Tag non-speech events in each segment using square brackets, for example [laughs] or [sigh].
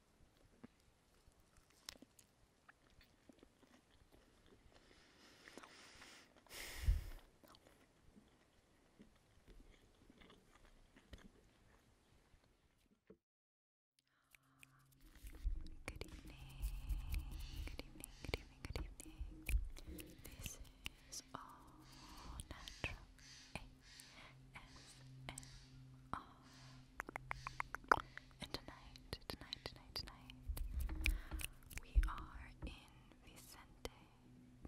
Good evening, good evening, good evening, good evening. This is all natural ASMR. And tonight, tonight, tonight, tonight, we are in Vicente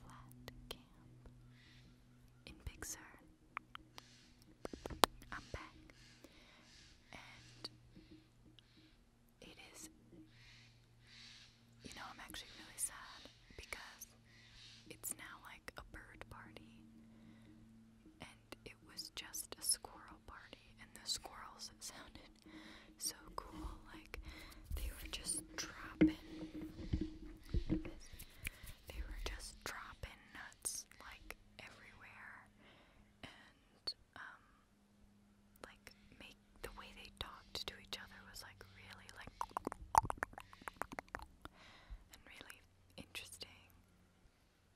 Flat Camp in Big I'm back. And it is, you know, I'm actually really sad because it's now like a bird party it was just a squirrel party, and the squirrels sounded so cool. Like they were just dropping, they were just dropping nuts like everywhere, and um, like make the way they talked to each other was like really like and really interesting.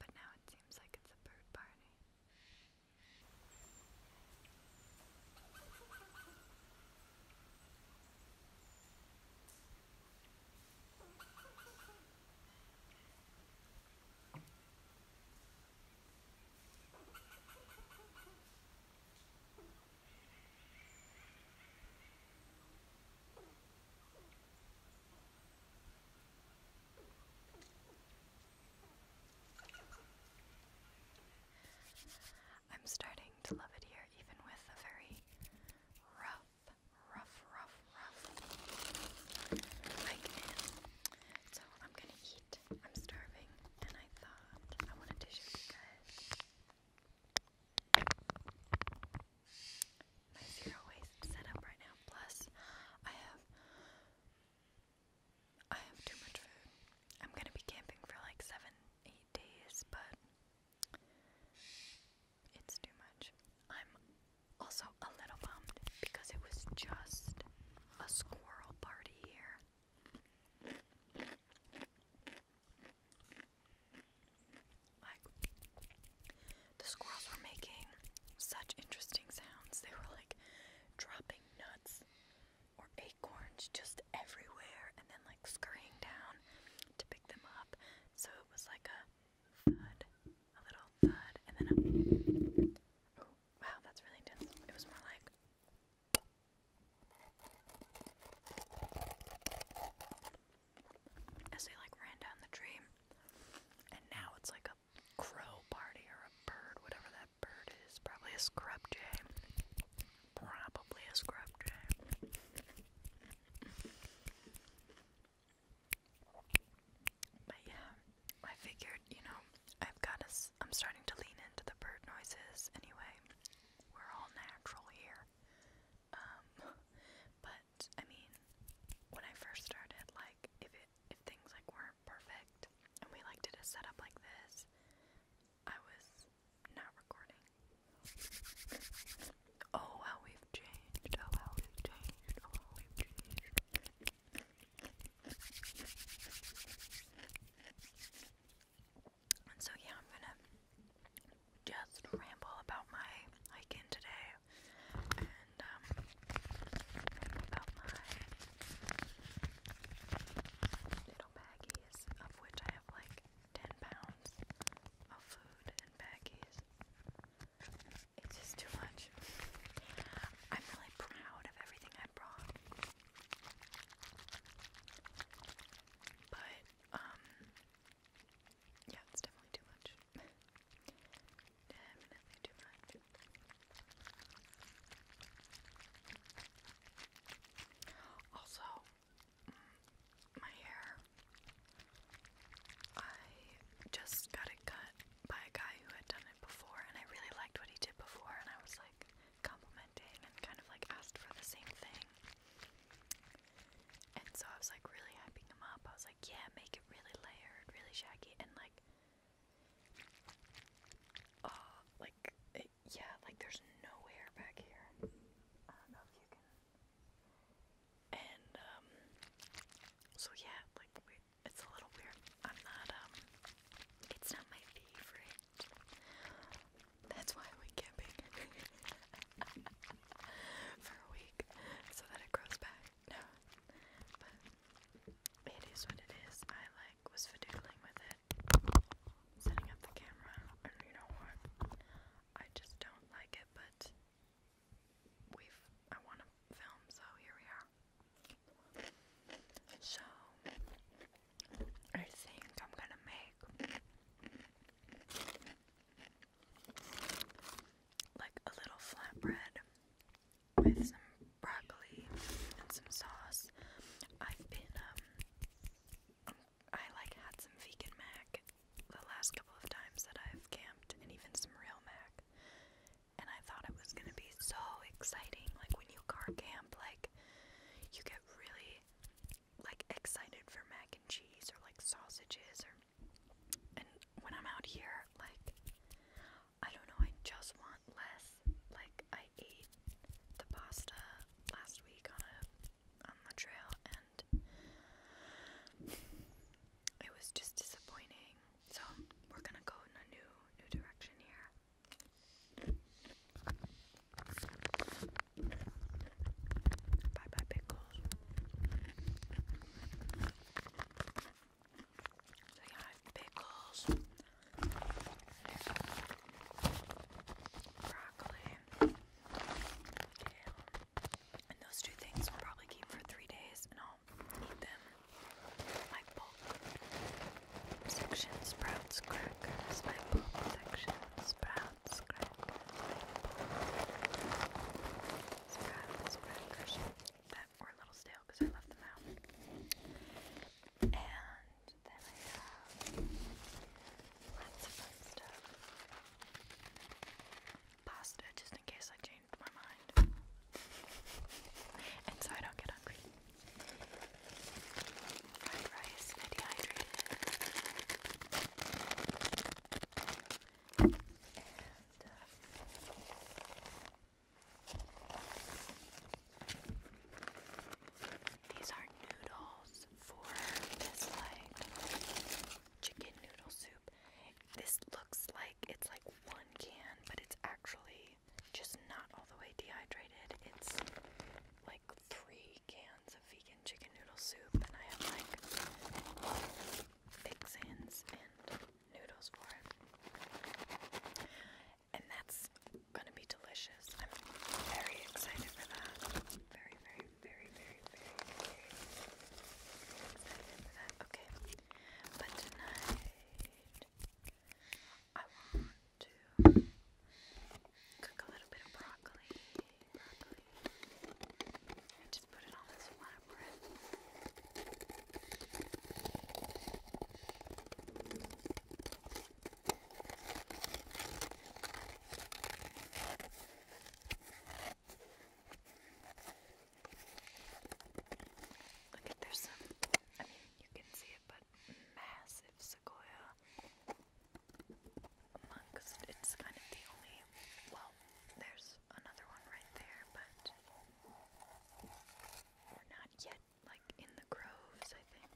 But now it seems like it's a bird party. I'm starting to love it here, even with a very rough, rough, rough, rough hike in. So I'm gonna eat. I'm starving, and I thought I wanted to show you guys my zero waste setup right now. Plus, I have I have too much food. I'm gonna be camping for like seven, eight days, but it's too much. I'm also a little bummed because it was just a squirrel party here. Like, the squirrels were making such interesting sounds. They were like dropping nuts or acorns just everywhere and then like scurrying down to pick them up. So it was like a thud, a little thud, and then a. Oh, wow, that's really intense. It was more like as they like ran down the tree. And now it's like a crow party or a bird, whatever that bird is. Probably a scrub jay. Probably a scrub jay. But yeah, I figured, you know, I've got us. I'm starting to lean into the bird noises anyway. We're all natural here. Um, [laughs] but I mean, when I first started, like if it if things like weren't perfect and we like did a setup like this, I was not recording. Oh how we've changed! Oh how we've changed! Oh how we've changed! And so yeah, I'm gonna just ramble about my hiking today and um, about my little baggies of which I have like 10 pounds of food and baggies. It's just too much. I'm really proud of everything I brought. But um yeah, it's definitely too much. [laughs] definitely too much. Also, mm, my hair. I just got it cut by a guy who had done it before, and I really liked what he did before, and I was like complimenting and kind of like asked for the same thing. And so I was like really hyping him up. I was like, yeah, make it really layered, really shaggy, and like, oh, like, eh, yeah, like there's no hair back here. I don't know if you can. And, um, so yeah, like, it's a little weird. I'm not, um, it's not my favorite. That's why [laughs] I went camping. I [laughs] for a week so that it grows back. No, but it is what it is. I like was fiddling with it, setting up the camera, and you know what? I just don't like it, but we've I want to film, so here we are. So, I think I'm gonna make like a little flatbread with some broccoli and some sauce. I've been um I like had some vegan mac the last couple of times that I've camped and even some real mac. And I thought it was gonna be so exciting. Like when you car camp, like you get really like excited for mac and cheese or like sausages or and when I'm out here like I don't know I just want less like I ate the pasta last week on a on the trail and it was just disappointing so we're gonna go in a new new direction here Bye bye, pickles. So, yeah, I have pickles, broccoli, kale. And those two things will probably keep for three days, and I'll eat them like bulk sections, sprouts, crackers, like bulk sections. Sprouts, crackers, that were a little stale because I left them out. And then I have lots of fun stuff. Pasta, just in case I changed my mind. and so I don't get hungry. Fried rice, dehydrated these are noodles for this like chicken noodle soup. This looks like it's like one can, but it's actually just not all the way dehydrated. It's like three cans of vegan chicken noodle soup, and I have like big sands and noodles for it. And that's gonna be delicious. I'm very excited for that. very, very, very, very, very excited for that. Okay. But tonight I want to cook a little bit of broccoli, broccoli, and just put it on this flat Look at there's some. I mean, you can see it, but massive sequoia because it's kind of the only. Well, there's another one right there, but we're not yet like in the groves, I think.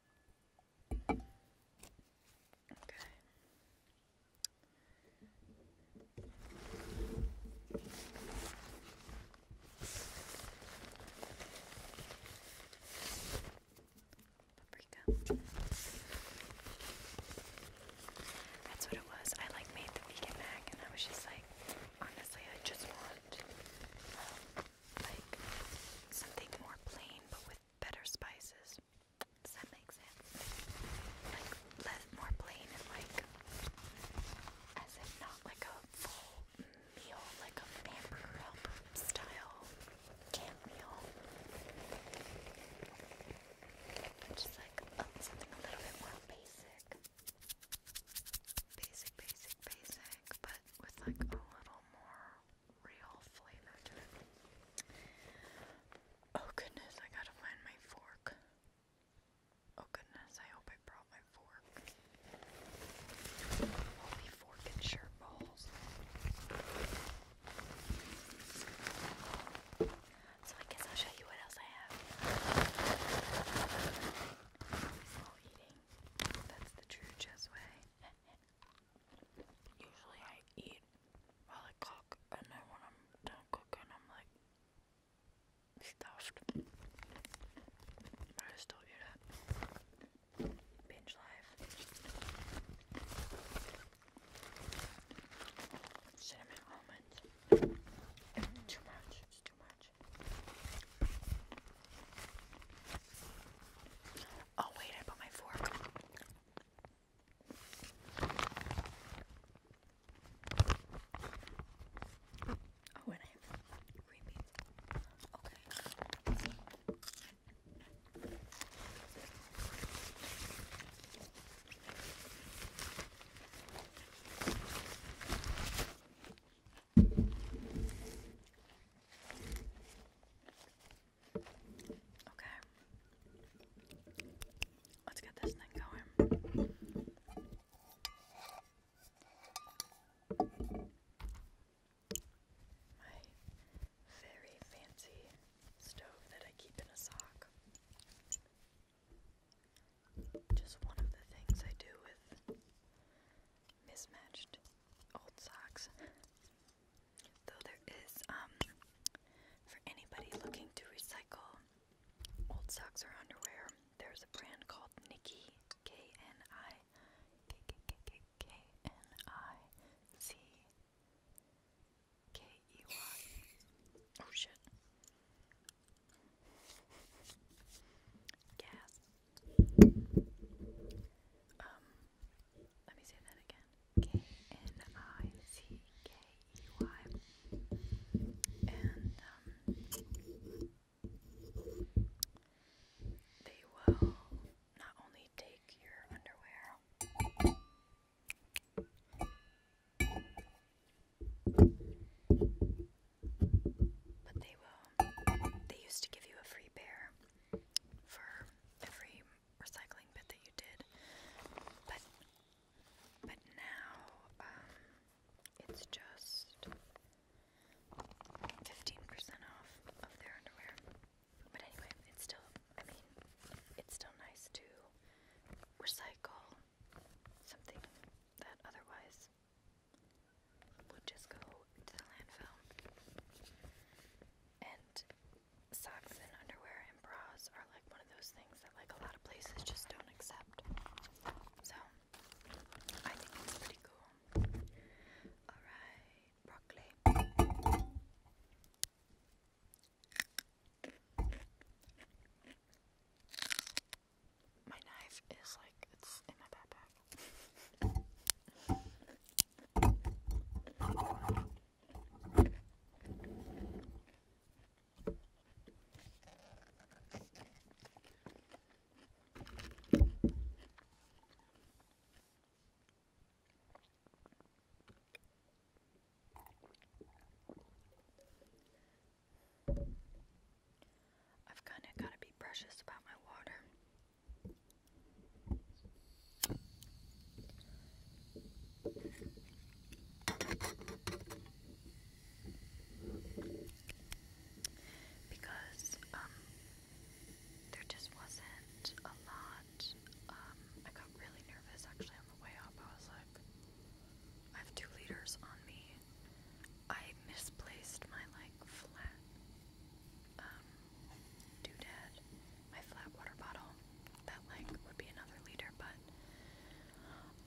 Okay. Paprika. That's what it was. I like made the vegan mac and I was just like honestly I just want um, like something more plain but with better spices. Does that make sense? Like less, more plain and like as if not like a full meal, like a hamburger style camp meal. Just like something a little bit more basic. Basic, basic, basic but with like a little more real flavor to it. Oh goodness, I gotta find my fork. Oh goodness, I hope I brought my fork. I'll be forking shirt So I guess I'll show you what else I have. Still eating. That's the true Jess way. [laughs] Usually I eat while I cook, and then when I'm done cooking, I'm like stuffed. But I still eat it. Binge life. Cinnamon almonds. too much. It's too much. Oh, wait, I put my fork. Oh, and I have green Okay. Okay. Let's get this thing going. My very fancy stove that I keep in a sock. Just one of the things I do with mismatched old socks. Though there is, um, for anybody looking to recycle old socks or underwear, there's a brand called Nikki, K N I K K K K K N I C K E Y. Oh shit. Gas. Um, let me say that again. K N I C K E Y. And um, they will not only take your underwear. But they will, they used to give you a free bear for every recycling bit that you did. But, but now, um, it's just 15% off of their underwear. But anyway, it's still, I mean, it's still nice to recycle something that otherwise would just go to the landfill. And socks and underwear and bras are like one of those things that like a lot of places just don't accept. So I think it's pretty cool. Alright, broccoli. My knife is like, it's in my backpack. I've kind of got to be precious about my water. Because um, there just wasn't a lot. Um, I got really nervous actually on the way up. I was like I have two liters on me I misplaced my like flat um, doodad, my flat water bottle. That like would be another liter, but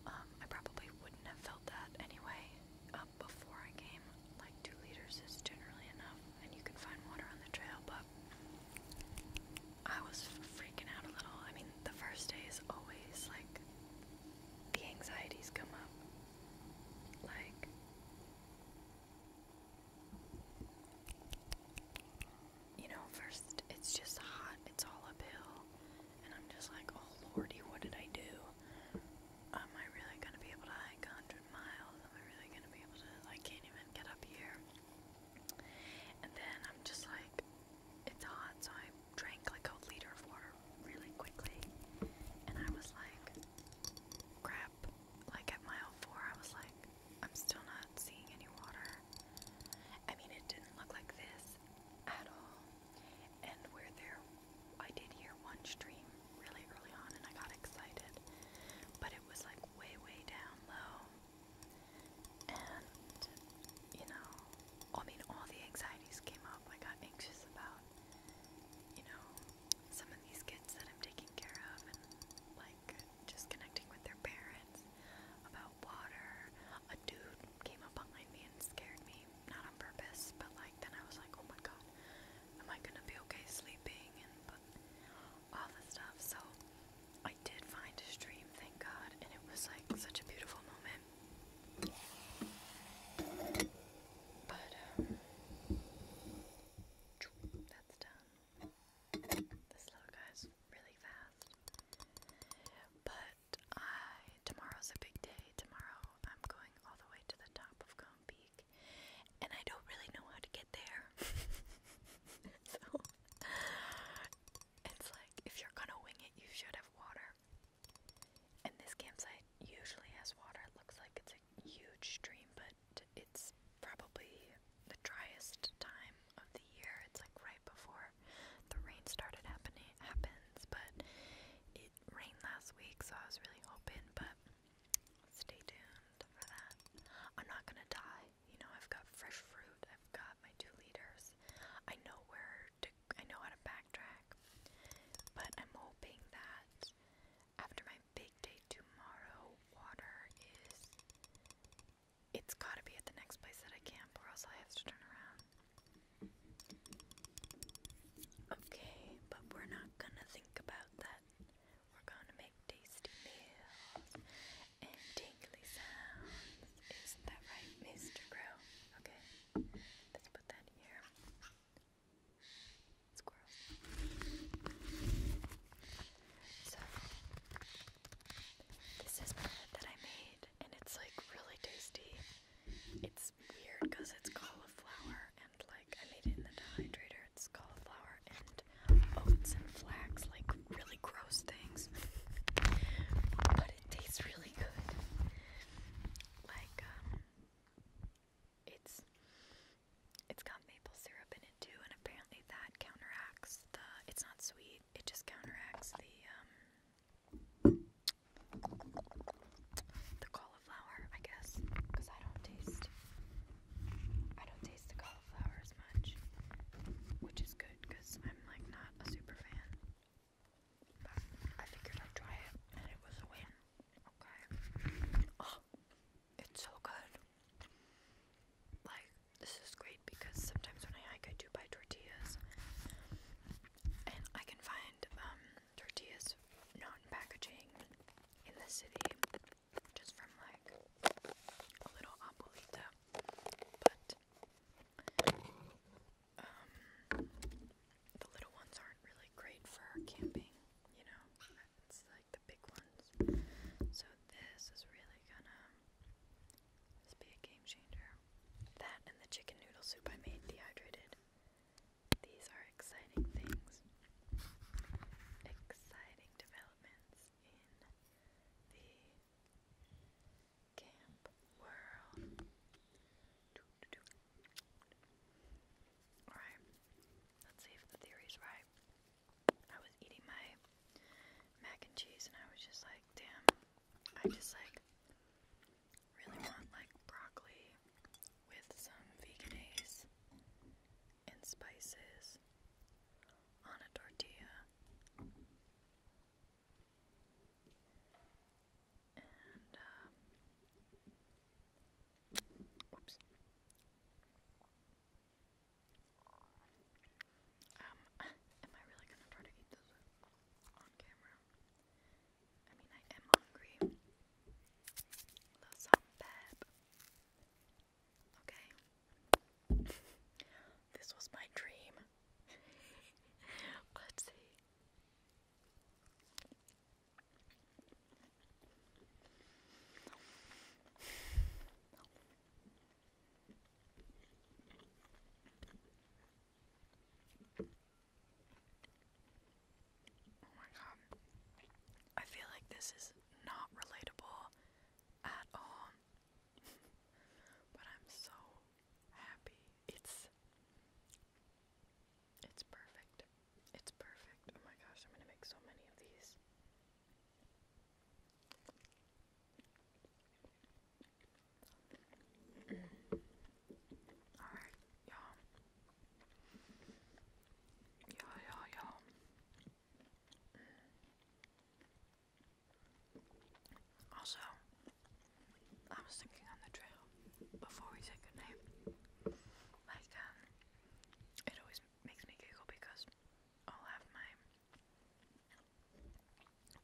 um, I probably wouldn't have felt that anyway. Um, before I came, like two liters is generally enough, and you can find water on the trail. But I was freaking out a little. I mean, the first day always like the anxieties come up. Like you know, first it's just hot, it's all uphill, and I'm just like, oh lordy, what did I do? Am I really gonna be able to hike a hundred miles? Am I really gonna be able to? I can't even get up here. And then I'm just like, it's hot, so I drank like a liter of water really quickly, and I was like, crap. Like at mile four, I was like, I'm still not seeing any water. I mean, it didn't look like this at all. And where there, I did hear one stream really early on, and I got excited, but it was like way, way down low. And, you know, I mean, all the anxieties came up. I got anxious about you know, some of these kids that I'm taking care of and like just connecting with their parents about water. A dude came up behind me and scared me, not on purpose, but like then I was like, oh my god, am I gonna be okay sleeping? And but all this stuff. So I did find a stream, thank God, and it was like such a beautiful moment. But, that's um, done. This little guy's really fast. But I, tomorrow's a big day. Tomorrow I'm going all the way to the top of Cone Peak. And I don't really know how to get there. [laughs] so, it's like if you're gonna wing it, you should have water. And this campsite usually has water. It looks like it's a huge stream, but it's probably the driest time of the year. It's like right before the rain started happening happens, but it rained last week, so I was really hoping, but stay tuned for that. I'm not gonna die. You know, I've got fresh fruit. I've got my two liters. I know where to. I know how to pack backtrack. But I'm hoping that after my big day tomorrow, water is. It's gotta be at the next place that I camp, or else I have to turn around. Okay, but we're not gonna think about that. We're gonna make tasty meals and tingly sounds. Isn't that right, Mr. Crow? Okay, let's put that here. So this is bread that I made, and it's like really tasty. It's weird because it's cauliflower, and like I made it in the dehydrator. It's cauliflower and oats and flax, like really gross things. but it tastes really good. Like um, it's it's got maple syrup in it too, and apparently that counteracts the. It's not sweet. It just counteracts the um the cauliflower, I guess, because I don't taste. I don't taste the cauliflower as much, which is good because I'm like not a super fan I figured I'd try it, and it was a win. Okay. Oh, it's so good. Like, this is great because sometimes when I hike, I buy tortillas. And I can find um, tortillas not packaging in the city, just from like a little abuelita. But um, the little ones aren't really great for camping, you know, it's like the big ones. So this is really gonna be a game changer. That and the chicken noodle soup I made dehydrated. These are exciting things. Exciting developments in the camp world. Alright, let's see if the theory's right. I was eating my mac and cheese and I was just like, damn, I just like really want like broccoli with some veganese and spices on a tortilla and um, [laughs] um, am I really gonna try to eat this on camera? I mean, I am hungry. Okay. [laughs] this was my dream. [laughs] Let's see. Oh my god. I feel like this is not relatable at all. [laughs] but I'm so happy. It's it's perfect. It's perfect. Oh my gosh, I'm gonna make so many of these. Alright, y'all. Y'all, Also, I was thinking on the trail before we said goodnight. Like, um, it always makes me giggle because I'll have my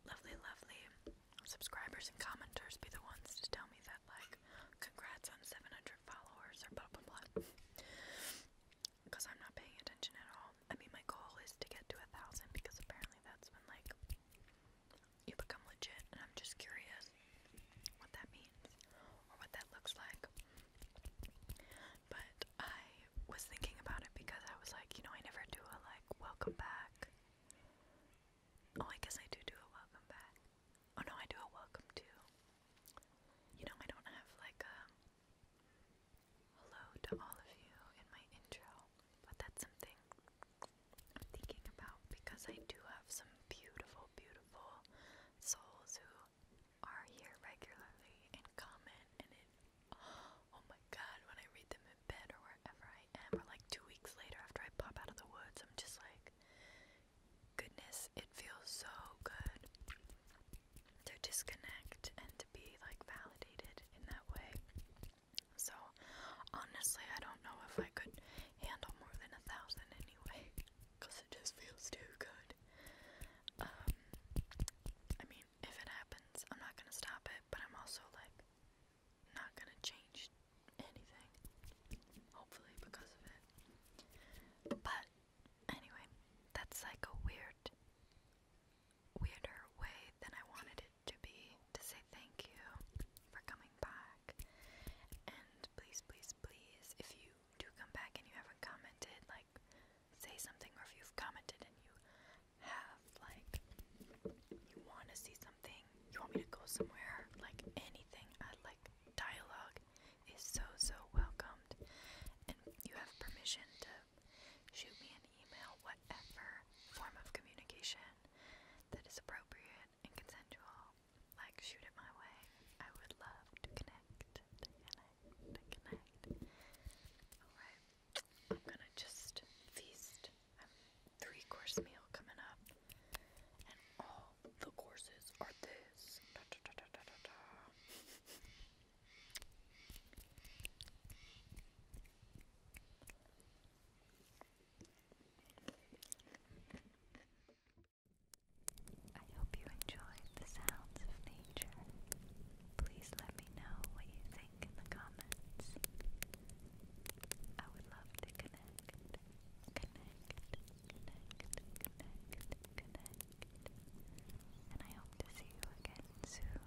lovely, lovely subscribers and commenters be the ones to tell me that, like, congrats on 700 followers or blah blah blah. Because I'm not paying attention at all. I mean, my goal is to get to a thousand because apparently that's when, like, you become legit, and I'm just curious what that means or what that looks like. But I was thinking about it because I was like, you know, I never do a like welcome back. Oh, I guess I do do a welcome back. Oh no, I do a welcome to. You know, I don't have like a hello to all of you in my intro, but that's something I'm thinking about because I do have some beautiful, beautiful souls who are here regularly and comment and it oh my god when I read them in bed or wherever I am or like two weeks later after I pop out of the woods I'm just like goodness it feels so good to disconnect and to be like validated in that way so, honestly, I don't know if I could handle more than a thousand anyway, because it just feels too good. Um, I mean, if it happens, I'm not gonna stop it, but I'm also like not gonna change anything, hopefully, because of it. But anyway, that's like a weird, weirder way than I wanted it to be to say thank you for coming back. And please, please, please, if you do come back and you haven't commented, like say something, or if you've commented and you have, like, you want to see something, you want me to go somewhere, like anything, I uh, like dialogue is so, so welcomed. And you have permission to shoot me an email, whatever form of communication that is appropriate and consensual, like shoot it my way. I would love to connect, connect, connect. Alright, I'm gonna just feast. I'm three course meal coming up, and all the courses are this. I hope you enjoyed the sounds of nature. Please let me know what you think in the comments. I would love to connect, connect, connect, connect, connect. And I hope to see you again soon.